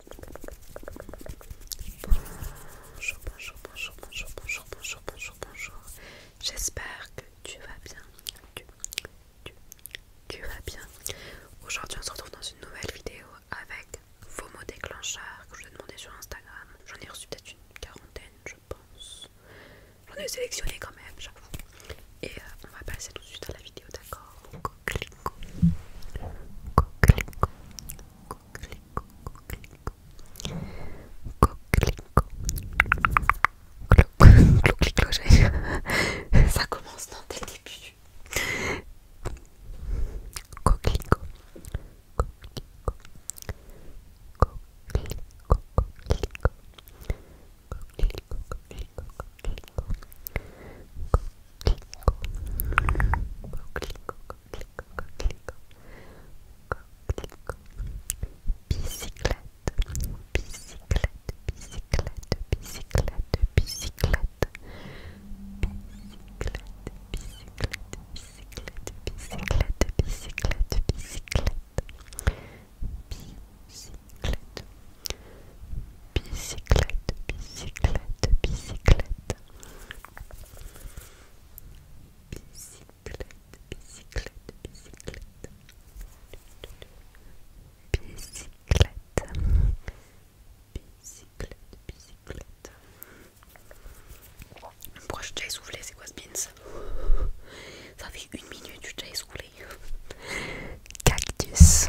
Bonjour, bonjour, bonjour, bonjour, bonjour, bonjour, bonjour, bonjour. J'espère que tu vas bien. Tu, vas bien. Aujourd'hui, on se retrouve dans une nouvelle vidéo avec vos mots déclencheurs que je vous ai demandé sur Instagram. J'en ai reçu peut-être une quarantaine, je pense. J'en ai sélectionné quand même, j'avoue. Et euh, on va passer tout de suite à la vidéo, d'accord coquelicot, coquelicot, ça commence dans Bicyclette, bicyclette, bicyclette, bicyclette, bicyclette, bicyclette, bicyclette, bicyclette, bicyclette, bicyclette, bicyclette, bicyclette, bicyclette, bicyclette, bicyclette, bicyclette, bicyclette, bicyclette, bicyclette. Bicyclette, bicyclette, bicyclette. Bicyclette. Bicyclette, bicyclette. Pourquoi je t'ai soufflé C'est quoi ce beans Ça fait une minute que je t'ai soufflé. Cactus. Cactus.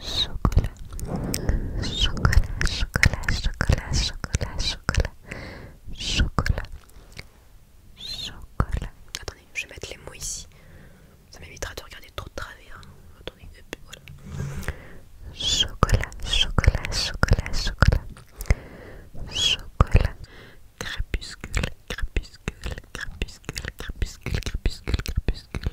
Chocolat, chocolat, chocolat, chocolat, chocolat, chocolat, chocolat, chocolat. Attendez, je vais mettre les mots ici. Ça m'évitera de regarder trop de travers. Hein. Attendez, Chocolat, chocolat, chocolat, chocolat, chocolat. Crépuscule, crépuscule, crépuscule, crépuscule, crépuscule, crépuscule, crépuscule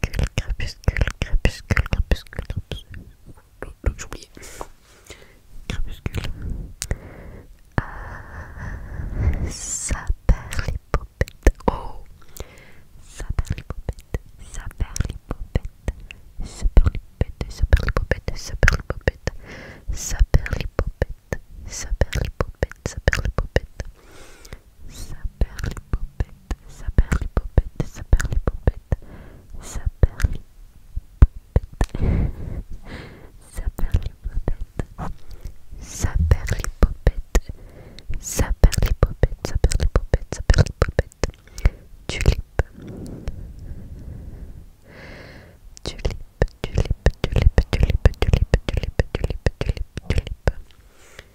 crépuscule, crépuscule, crépuscule, crépuscule, crépuscule. oublié. Crépuscule. Euh, ça perd les Oh! Ça perd les Ça les Ça ça perd les popettes, ça perd les popettes, ça perd les popettes, ça perd les popettes, ça perd les popettes, ça perd les popettes, ça perd les popettes, ça perd les popettes, ça perd les popettes, tulipe, tulipe, tulipe, tulipe, tulipe, tulipe, tulipe, tulipe, tulipe, tulipe.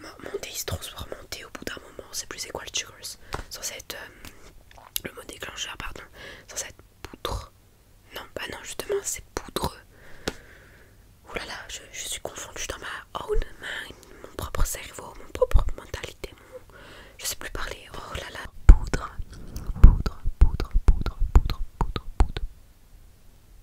mon, mon se transforme au bout d'un moment, c'est plus équal Sans Censé être. Euh, le mot déclencheur, pardon. sans cette poudre. Non, pas bah non, justement, c'est poudre Oulala, là là, je, suis confondue, dans ma own mind, mon propre cerveau, mon propre mentalité, je sais plus parler. Oh là là, poudre, poudre, poudre, poudre, poudre, poudre.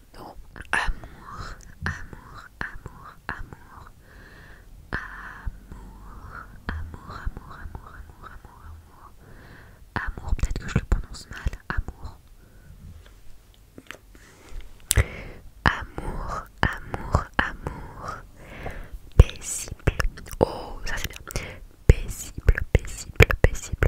Amour, amour, amour, amour. Amour, amour, amour, amour, amour, amour, amour. Amour, peut-être que je le prononce mal. Amour. Amour, amour, amour. Paisible. Oh, ça c'est bien. Paisible, paisible, paisible,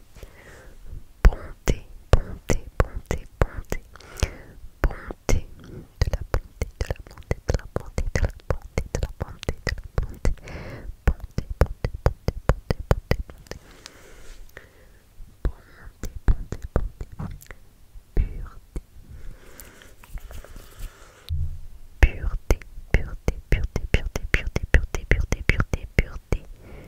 bonté, bonté, bonté, bonté, bonté, de la bonté, de la bonté, de la bonté, de la bonté, de la bonté, de la bonté, bonté, bonté, bonté, bonté, bonté, bonté, pureté, pureté, pureté, pureté, pureté, pureté, pureté, pureté, pureté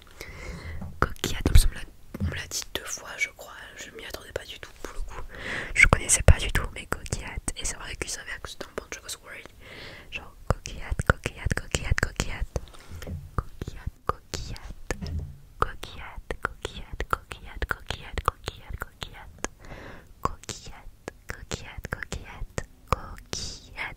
vidéo. on me l'a dit deux fois, je crois. Je m'y attendais pas du tout pour le coup. Je connaissais pas du tout, mais coquillade. Et c'est vrai qu'il s'avère que c'était un bunch of Genre coquillade, coquillade, coquillade, coquillade. Coquillade, coquillade. Coquillade, coquillade, coquillade, coquillade, coquillade, coquillade. Coquillade, coquillade, coquillade, coquillade.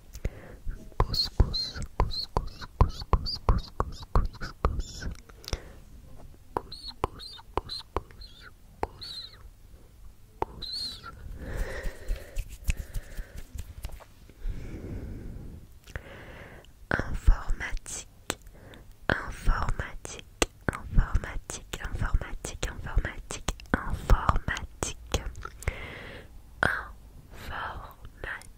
couscous, couscous, couscous, couscous, couscous, couscous, couscous, cous cous informatique, informatique, informatique, informatique, informatique, informatique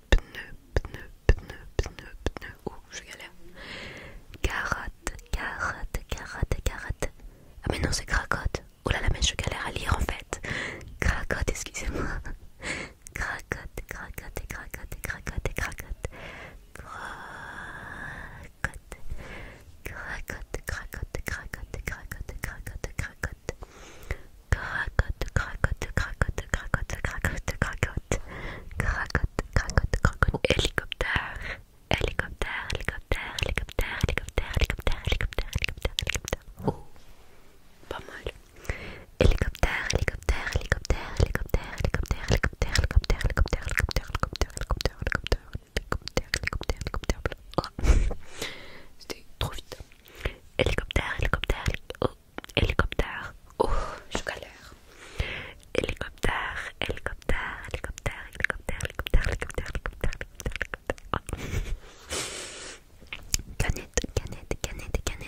pneu, pneu, pneu, pneu, pneu. Oh, je galère. Carotte, carotte, carotte, carotte. Ah, mais non, c'est cracotte. Oh là là, mais je galère à lire en fait. Cracotte, excusez-moi. Cracotte, cracotte, cracotte, cracotte, cracotte. Cracotte, cracotte, cracotte, cracotte, cracotte, cracotte, cracotte cracotte, cracotte, cracotte, cracotte, cracotte, cracotte, cracotte, cracotte, cracotte, cracotte, hélicoptère, hélicoptère, hélicoptère, hélicoptère, hélicoptère, hélicoptère, hélicoptère, hélicoptère, oh, pas mal, hélicoptère, hélicoptère, hélicoptère, hélicoptère, hélicoptère, hélicoptère, hélicoptère, hélicoptère, hélicoptère, hélicoptère, hélicoptère, hélicoptère, hélicoptère, hélicoptère, hélicoptère, c'était trop vite. Hélicoptère, hélicoptère, oh, hélicoptère. Oh, je galère. Hélicoptère, hélicoptère, hélicoptère, hélicoptère, hélicoptère, hélicoptère, hélicoptère, hélicoptère. Canette, canette, canette, canette. Canette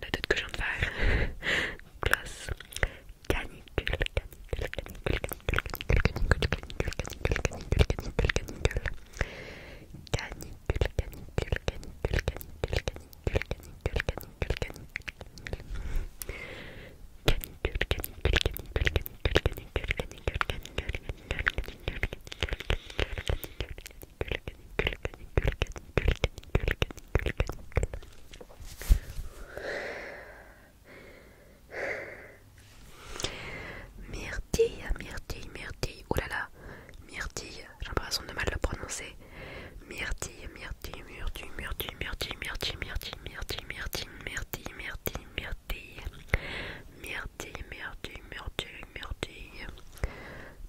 la tête que je viens faire. Myrtille, myrtille, Myrtille, myrtille, myrtille, oulala, myrtille, j'ai l'impression de mal le prononcer. Myrtille, myrtille, myrtille, myrtille, myrtille, myrtille, myrtille, myrtille, myrtille, myrtille, myrtille, myrtille, myrtille, myrtille, myrtille, myrtille,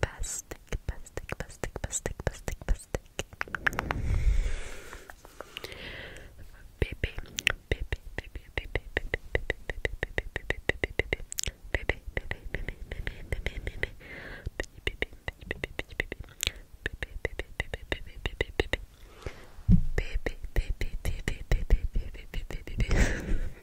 Bastic, Bastic, Bastic, Bastic, Bastic, Bastic, Bastic. Baby, baby, baby, baby, baby, baby, baby, baby, baby, baby, baby,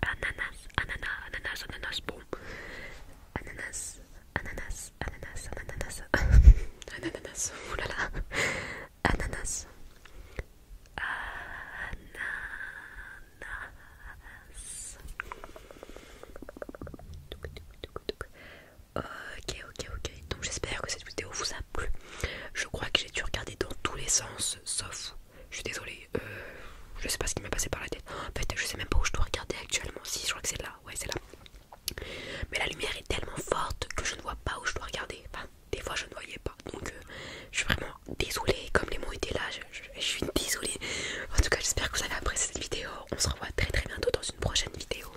ananas, ananas, ananas, ananas, bon, ananas, ananas, ananas, ananas, ananas, oulala, ananas, ananas. Ok, ok, ok. Donc j'espère que cette vidéo vous a plu. Je crois que j'ai dû regarder dans tous les sens, sauf je suis désolée, euh, je sais pas ce qui m'est passé par la tête. En fait, je sais même pas où je dois regarder actuellement. Si, je crois que c'est là, ouais, c'est là. Mais la lumière est tellement forte que je ne vois pas où je dois regarder. Enfin, des fois, je ne voyais pas. Donc, euh, je suis vraiment désolée. Comme les mots étaient là, je suis désolée. En tout cas, j'espère que vous avez apprécié cette vidéo. On se revoit très très bientôt dans une prochaine vidéo.